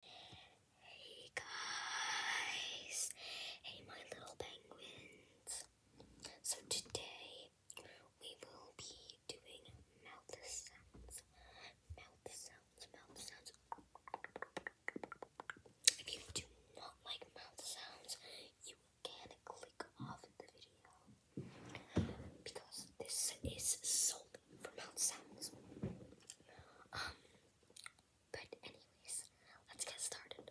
Hey guys, hey my little penguins. So today we will be doing mouth sounds, mouth sounds, mouth sounds. If you do not like mouth sounds, you can click off the video because this is solely for mouth sounds. Um, but anyways, let's get started.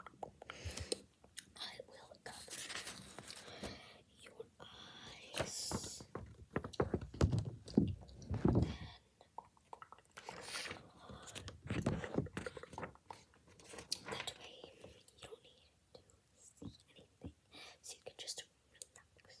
I will cover your eyes. Then that way you don't need to see anything, so you can just relax.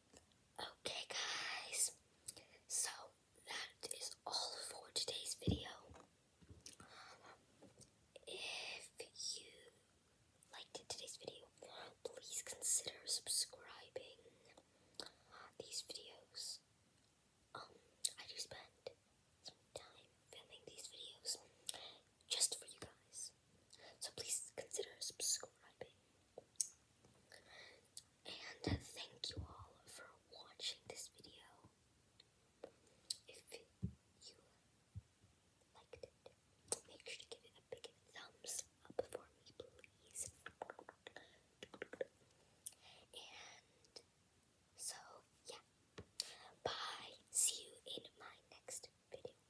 Okay, guys, so that is all for today's video. If you liked today's video, please consider subscribing. These videos, um, I do spend some time filming these videos just for you guys, so please consider subscribing. And thank you all for watching this video. If you liked it, make sure to give it a big thumbs up for me, please. And so, yeah. Bye. See you in my next video.